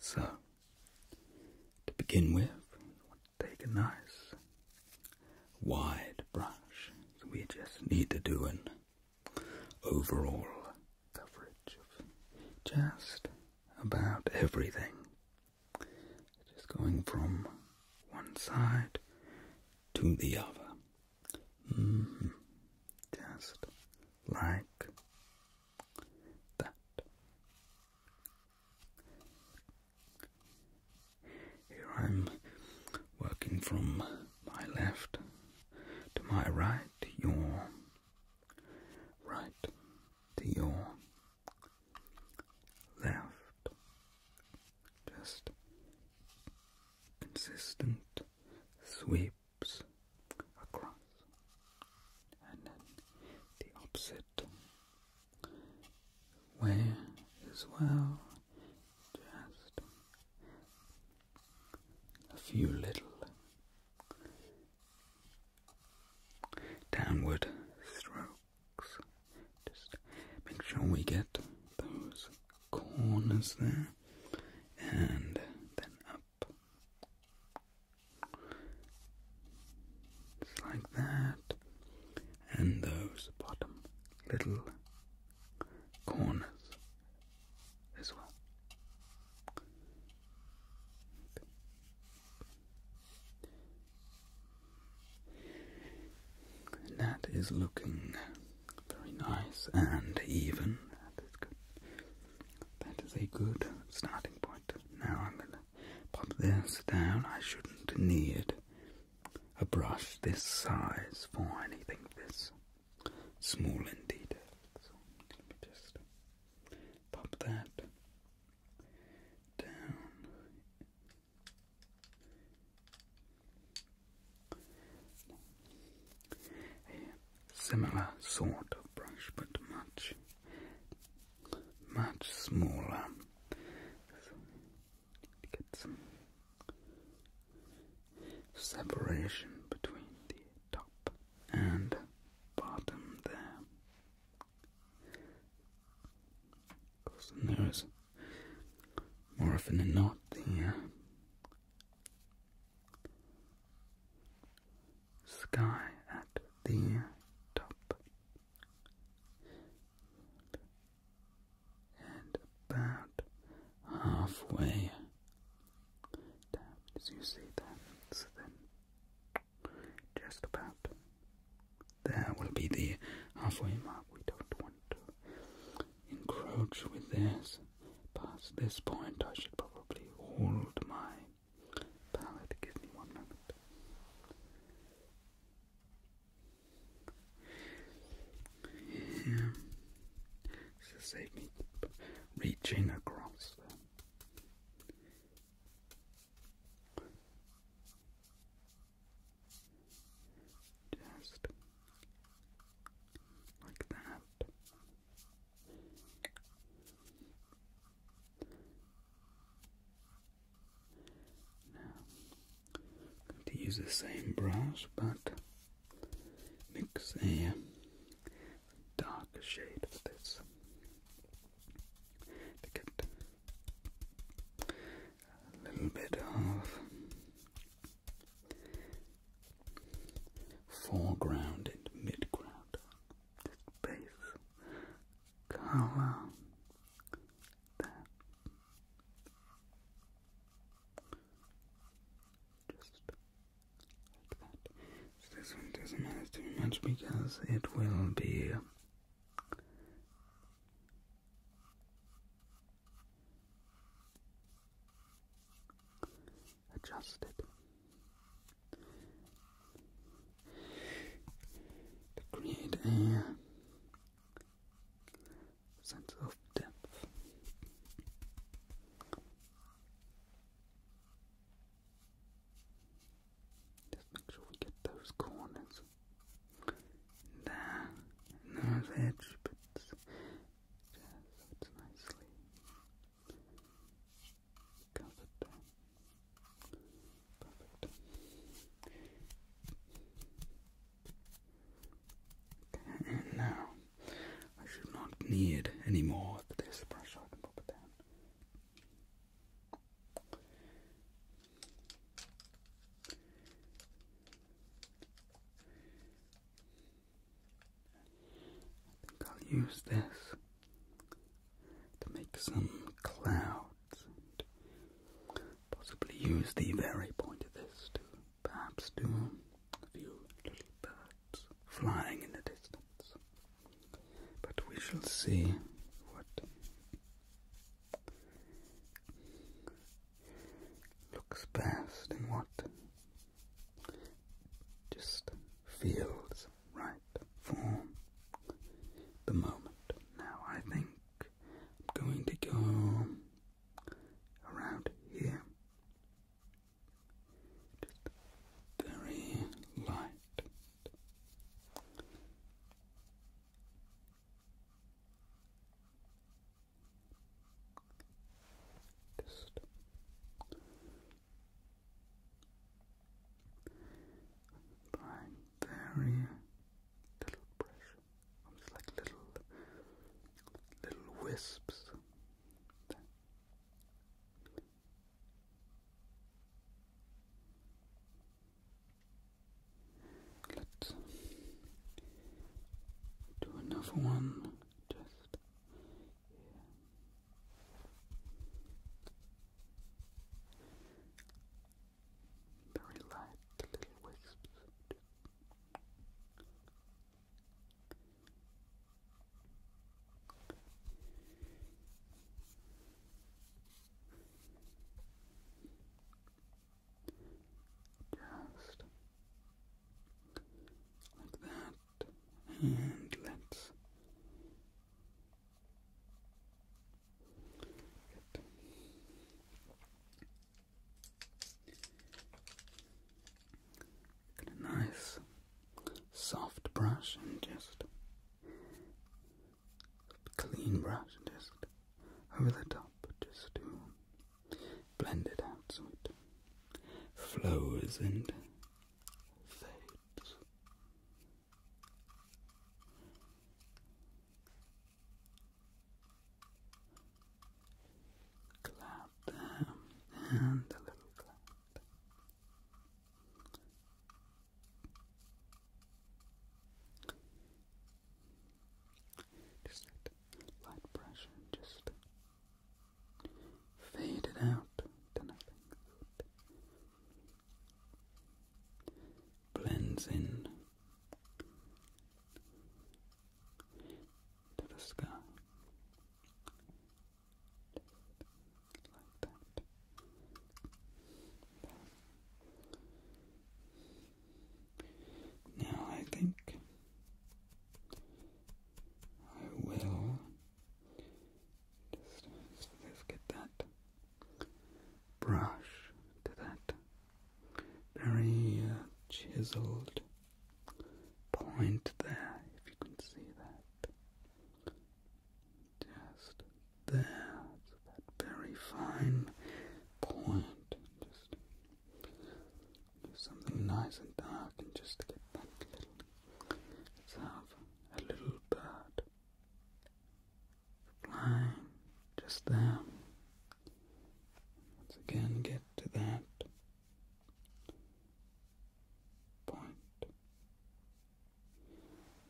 So, to begin with, I want to take a nice wide brush. we just need to do an overall coverage of just about everything. Just going from one side to the other. Mm-hmm. Just like that. Here I'm working from my left to my right, to your right, to your left. Just consistent sweep across, and then the opposite way as well. Just a few little downward strokes. Just make sure we get those corners there and then up just like that. And those bottom little corners as well. that is looking very nice and even. That is a good starting point. Now I'm going to pop this down. I shouldn't need a brush this size for anything this small indeed. So let me just pop that down similar sort of brush, but much, much smaller. get some separation between the top and bottom there. Of there is more often than not the uh, sky at the top and about halfway down you see that so then just about there will be the halfway mark we don't want to encroach with this past this point, I should probably hold my palette. Give me one moment. Yeah. So save me reaching across. Just like that. Now, going to use the same brush but mix a darker shade for a little bit of foreground and midground, base color. There. Just like that. this one doesn't matter too much because it will be adjusted. To create a sense of depth, just make sure we get those corners there, those edge yeah, so it's nicely covered down. Perfect. now I should not need any more of this brush, so I can pop it down. I think I'll use this to make some clouds and possibly use the very point of this to perhaps do a few little birds flying in the distance. But we shall see what looks best in what just feels right for the moment. Now, I think I'm going to go around here, just very light. Just very little pressure. i like little little wisps. Let's do another one just here. Very light little wisps. Just like that. And let's get a nice soft brush and just clean brush just over the top just to Blended out so it flows and fades. Clap there and a little clap. Just that light pressure, just fade it out to nothing. Blends in to the sky. like that. Now I think I will just, just, just get that brush to that very uh, chiseled point there, if you can see that. Just there, that very fine point. Just something nice and dark and just get that little. Let's have a little bird flying just there. Once again, get to that point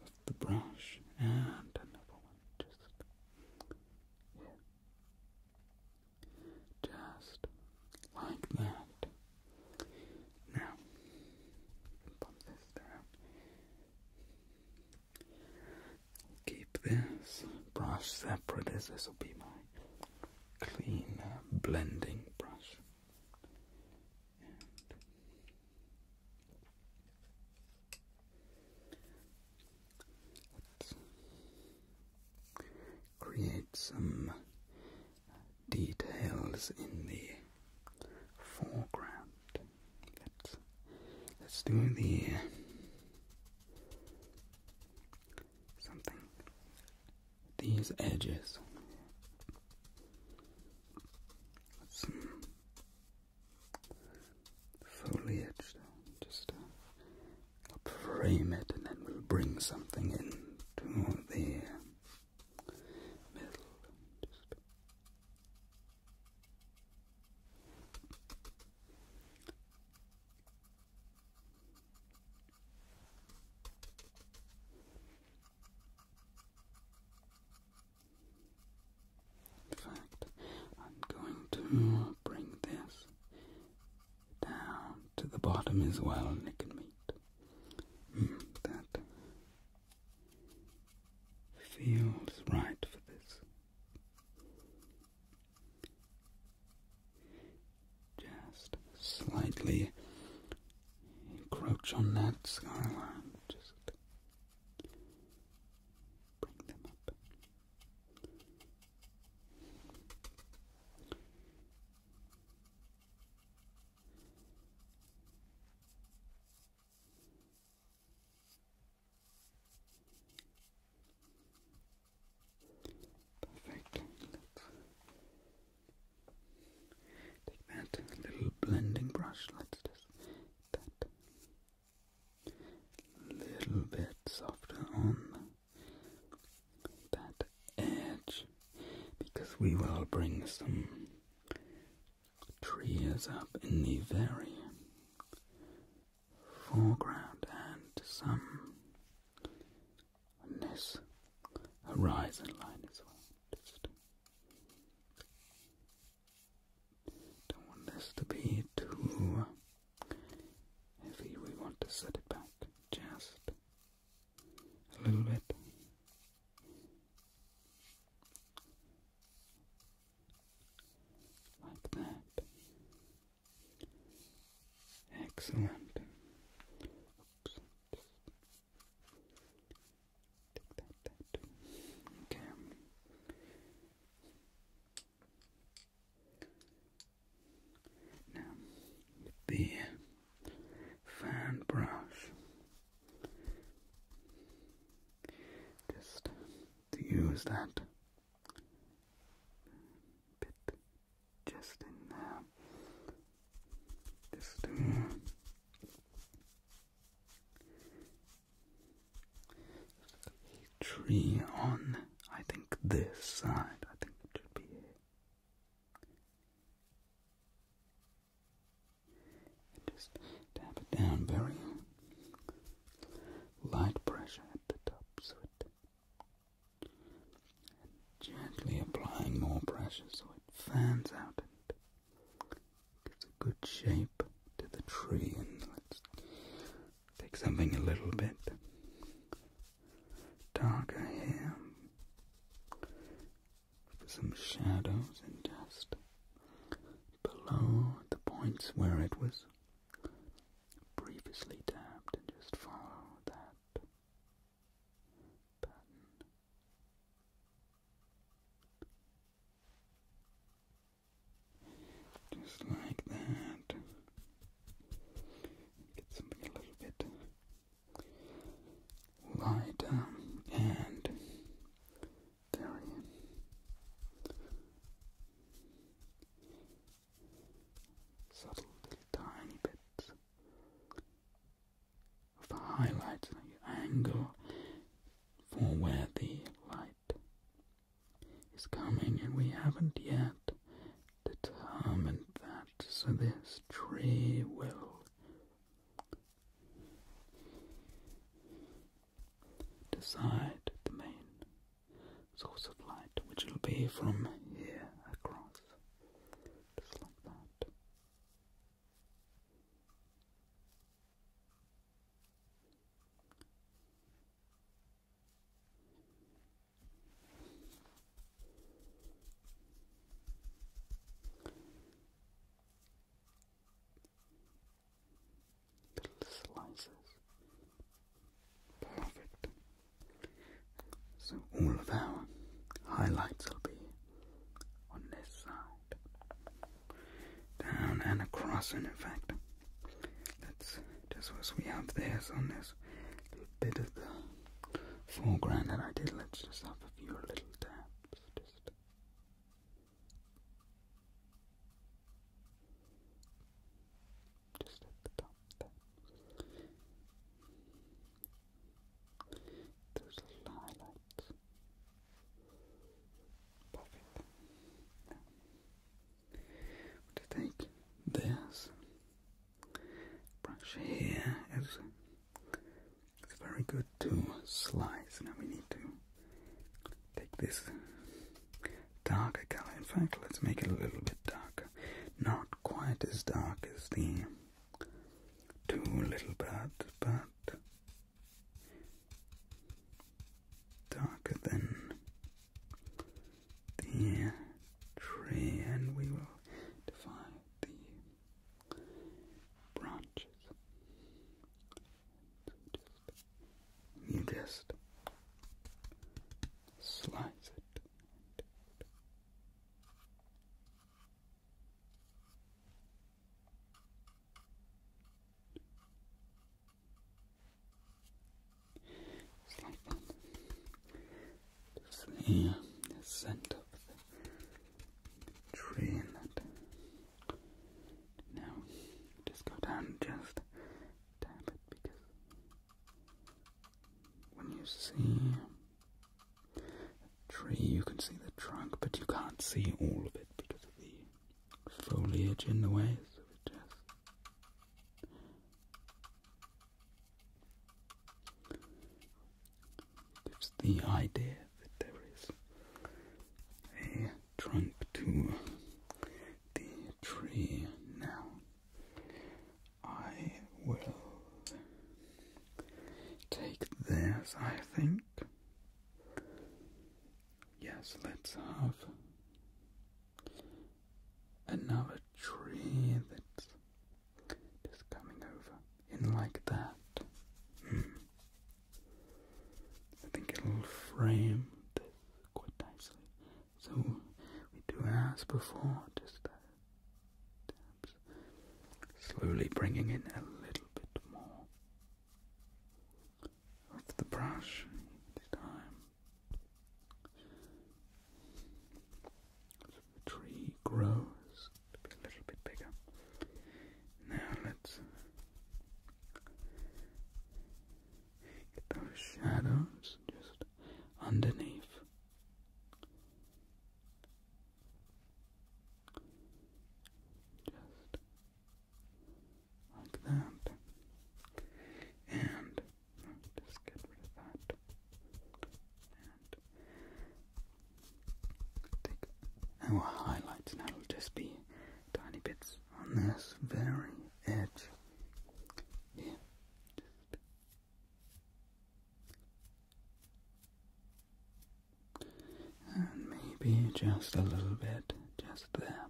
with the brush and another one just here. Just like that. Now, bump this down. Keep this brush separate as this will be my clean uh, blending brush. Let's create some details in the foreground. Let's do the something these edges foliage down, just uh, frame it, and then we'll bring something into the middle. Just in fact, I'm going to bring this down to the bottom as well and it can meet. Hmm, that feels right for this. Just slightly encroach on that skyline. Just bring them up. Perfect. Take that little blending brush. Let's just that. A little bit softer on that edge because we will bring some trees up in the very foreground and some on this horizon line as well. Don't want this to be too heavy. We want to set it back just a little bit. Like that. Excellent. Okay. Now, the fan brush. Just to use that bit just in just to uh, a tree on, I think, this side. I think it should be Just tap it down very light pressure at the top, so it and gently applying more pressure so it fans out and gives a good shape to the tree. And let's take something a little bit darker here for some shadows and dust below the points where it was previously dabbed, and just follow that pattern. Just like that. Get something a little bit lighter and very subtle tiny bits of highlights angle for where the light is coming, and we haven't yet determined that. So, this tree will decide the main source of light, which will be from here across, just like that. Little slices. Perfect. So all of our highlights will be on this side down and across, and in fact, that's just what we have there. So on this little bit of the foreground that I did, let's just have a few little taps. Just just at the top there. a little highlights. Perfect. to take this brush here is it's very good to slice. Now we need to take this darker color. In fact, let's make it a little bit darker. Not quite as dark as the two little birds, but darker than the tree, and we will define the branches. You just slice it. Just like that. Just the, uh, of the tree in Now, just go down and just tap it because when you see a tree, you can see the trunk, but you can't see all of it because of the foliage in the way, so we just gives the idea that there is a trunk to the tree now. I will take this, I think. Yes, let's have another tree that's just coming over in like that. Mm. I think it'll frame this quite nicely. So we do as before, just uh, slowly bringing in a little bit more of the brush, it's time. So the tree grows a little bit bigger. Now let's get those shadows just underneath just like that. And just get rid of that. And our highlights, and that'll just be tiny bits on this very edge here. Just and maybe just a little bit, just there.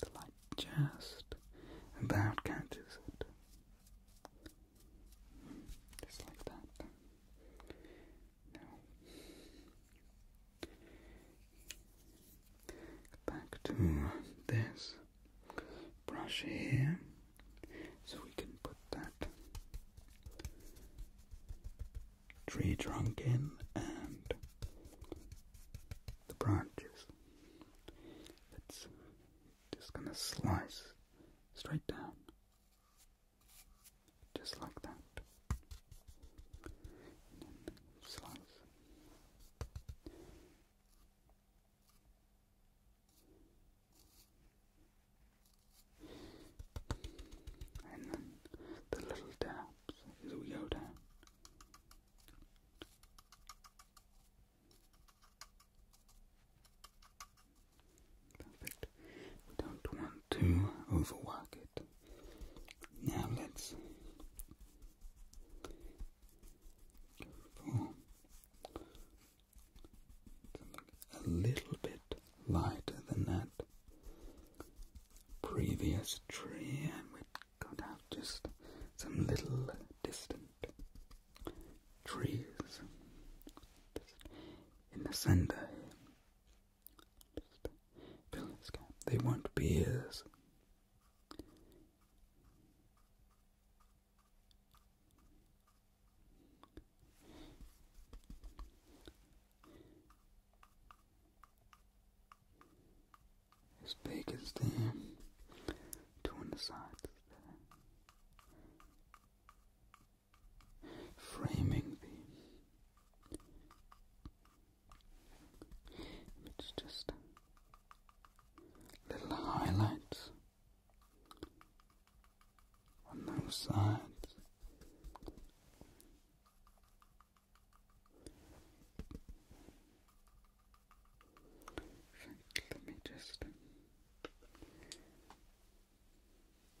The light just about catches it. Just like that. Now, back to this brush here. So we can put that tree trunk in and the branches. It's just gonna slice straight down, just like that. And then slice. And then the little taps as we go down. Perfect. We don't want to overwork it. Now let's a little bit lighter than that previous tree, and we got out just some little distant trees in the center Fill this gap. They won't be as it's beak is there, the sides framing the image, just little highlights on those sides. let me just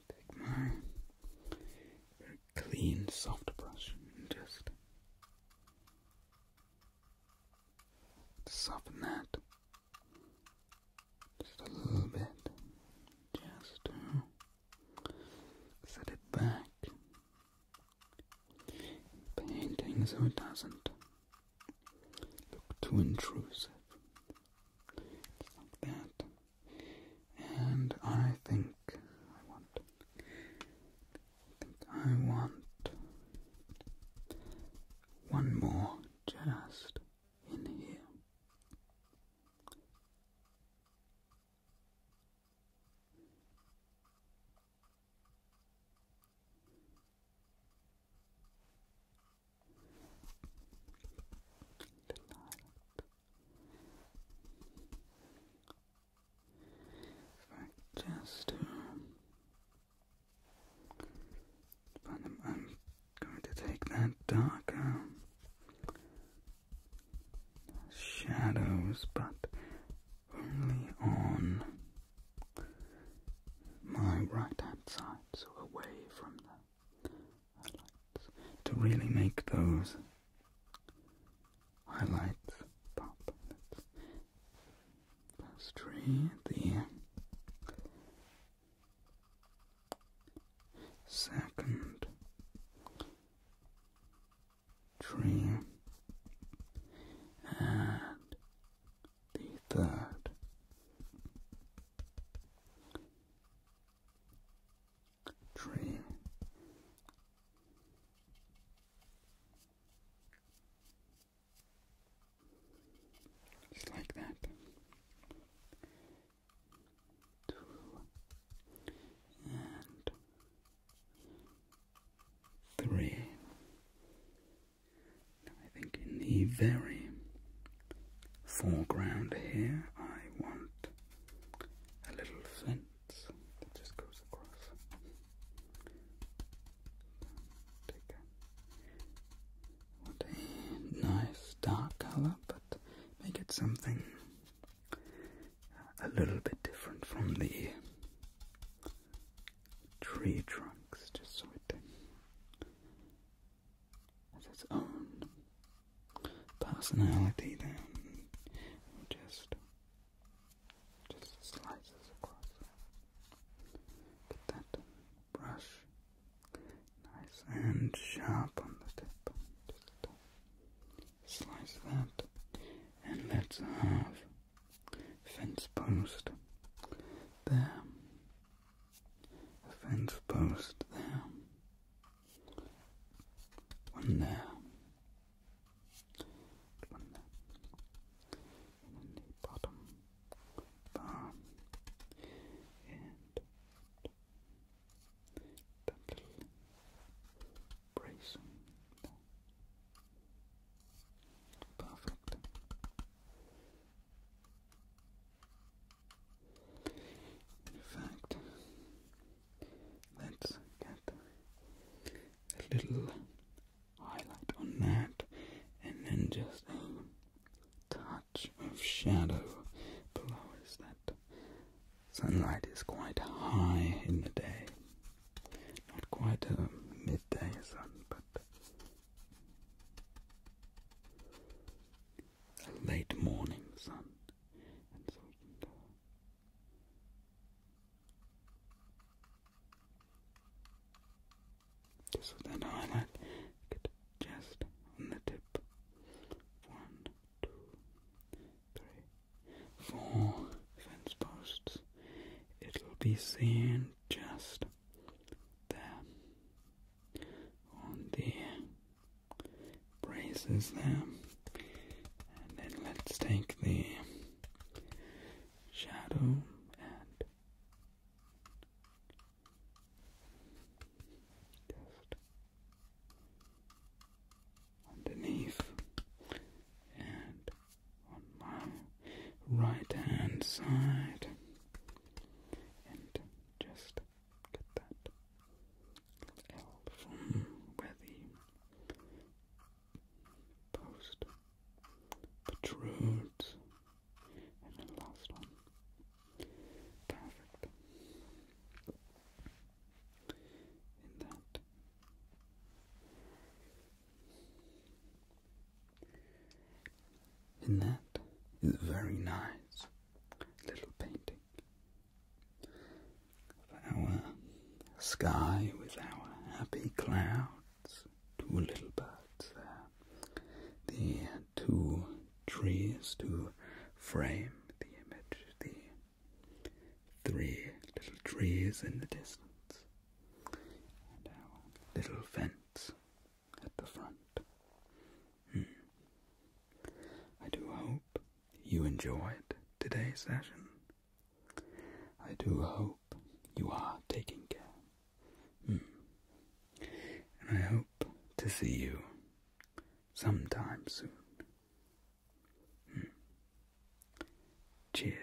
take my very clean, soft brush and just soften that. Just a little bit. Just to uh, set it back. Painting so it doesn't look too intrusive. Just like that. And I think I want I think I want one more just in here. Right, just um, I'm, going to take that darker um, shadows, but only on my right hand side, so away from the highlights, to really make those highlights pop. That's, that's tree, the second tree and the third tree. Just like that. Two. And three. I think in the very foreground here, I want a little fence that just goes across a, nice dark color, but make it something a little bit different from the tree trunks, just so it has its own personality then. Just, just slices across. Get that brush nice and sharp on the tip. slice that, and let's have fence post there, fence post there, one there, one there and the bottom bar and the little Perfect. In fact, let's get a little highlight on that, and then just a touch of shadow below as that sunlight is quite high in the day. Not quite a midday sun, but a late morning sun. And so just with highlight, just on the tip. One, two, three, four fence posts. It'll be seen just there on the braces there. And then let's take the shadow and just underneath and on my right hand side and just get that L from where the post, protrudes, and then last one. Perfect. In that. And that is a very nice little painting of our sky with our happy clouds two little birds there. The uh, two trees to frame the image, the three little trees in the distance, and our little fence at the front. Hmm. I do hope you enjoyed today's session. I do hope you are taking care. Hmm. And I hope to see you sometime soon. Hmm. Cheers.